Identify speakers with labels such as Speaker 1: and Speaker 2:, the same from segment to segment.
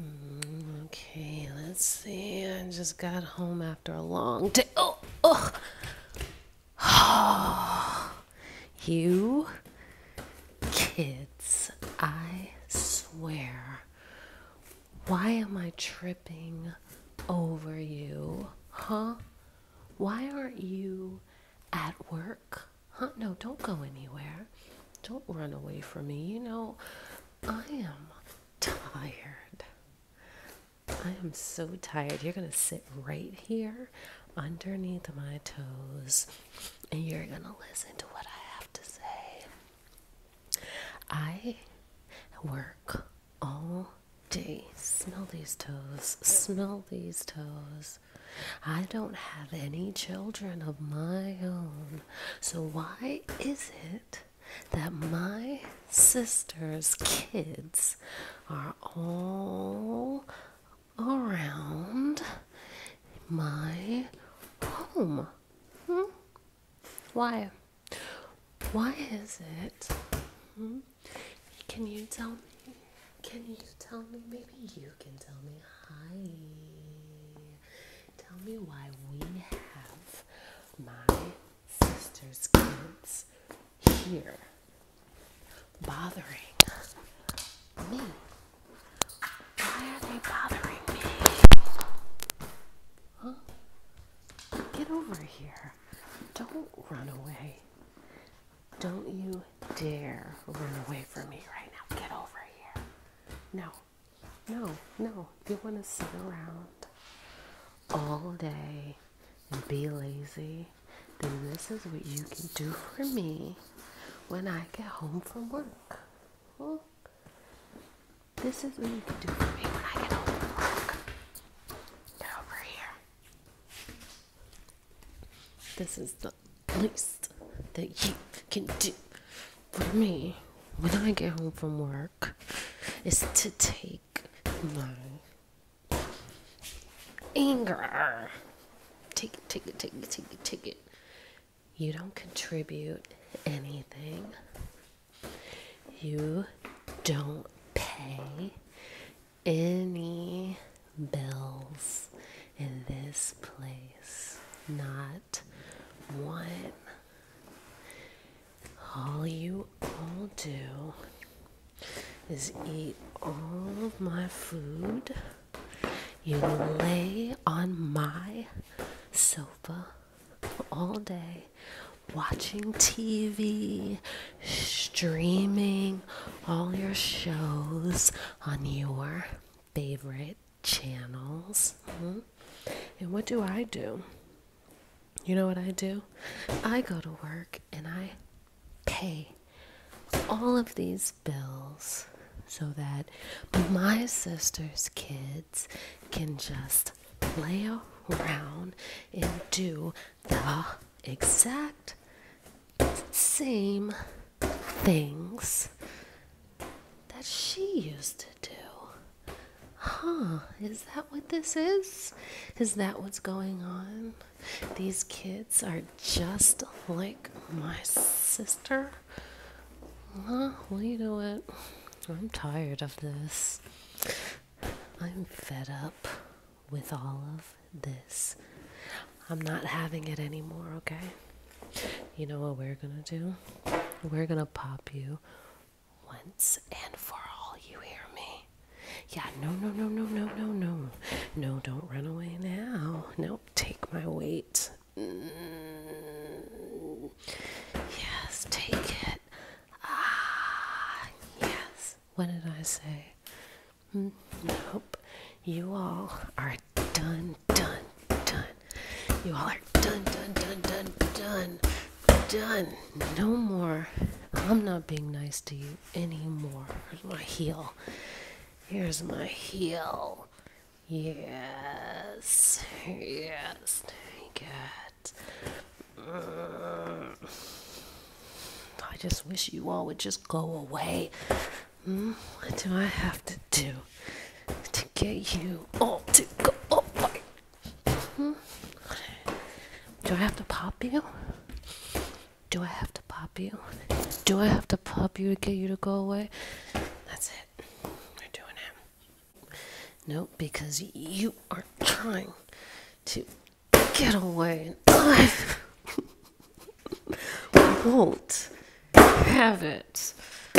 Speaker 1: Mm, okay, let's see. I just got home after a long day. Oh, oh. oh. You kids, I swear. Why am I tripping over you? Huh? Why aren't you at work? Huh? No, don't go anywhere. Don't run away from me. You know, I am tired. I am so tired. You're going to sit right here underneath my toes and you're going to listen to what I have to say. I work all day. Smell these toes. Smell these toes. I don't have any children of my own. So, why is it that my sister's kids are all around my home? Hmm? Why? Why is it? Hmm? Can you tell me? Can you tell me? Maybe you can tell me. Hi. Tell me why we have my sister's kids here bothering me. Why are they bothering me? Huh? Get over here. Don't run away. Don't you dare run away from me right now. Get over here. No, no, no. If you want to sit around all day and be lazy, then this is what you can do for me when I get home from work. this is what you can do for me when I get home from work. Get over here. This is the least that you can do for me when I get home from work is to take my anger. Take it, take it, take it, take it, take it. You don't contribute anything. You don't pay any bills in this place. Not one. All you all do is eat all of my food. You lay on my sofa all day watching TV, streaming all your shows on your favorite channels. Mm-hmm. And what do I do? You know what I do? I go to work and I pay all of these bills so that my sister's kids can just play around and do the exact same things that she used to do. Huh, is that what this is? Is that what's going on? These kids are just like my sister. Huh, well, you know what? I'm tired of this. I'm fed up with all of this. I'm not having it anymore, okay? You know what we're gonna do? We're gonna pop you once and for all, you hear me? Yeah, no, no, no, no, no, no, no. No, don't run away now. No, take my weight. Mm. Yes, take it. Ah, yes what did I say? Mm, nope. You all are done, done, done. You all are done, done, done, done, done, done. No more. I'm not being nice to you anymore. Here's my heel. Here's my heel. Yes. Yes. Good. I just wish you all would just go away. Mm, what do I have to do to get you all to go away? Mm-hmm. Do I have to pop you? Do I have to pop you? Do I have to pop you to get you to go away? That's it. We're doing it. No, because you are trying to get away. I won't have it.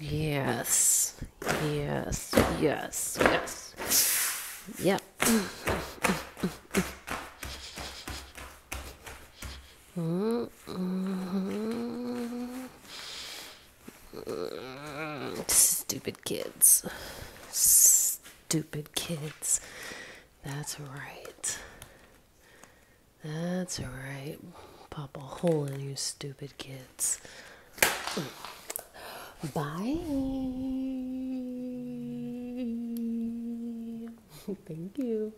Speaker 1: yes, yes, yes, yes. Yep. Mm-hmm. Mm, stupid kids. Stupid kids. That's right. That's right. Pop a hole in you, stupid kids. Bye. Thank you.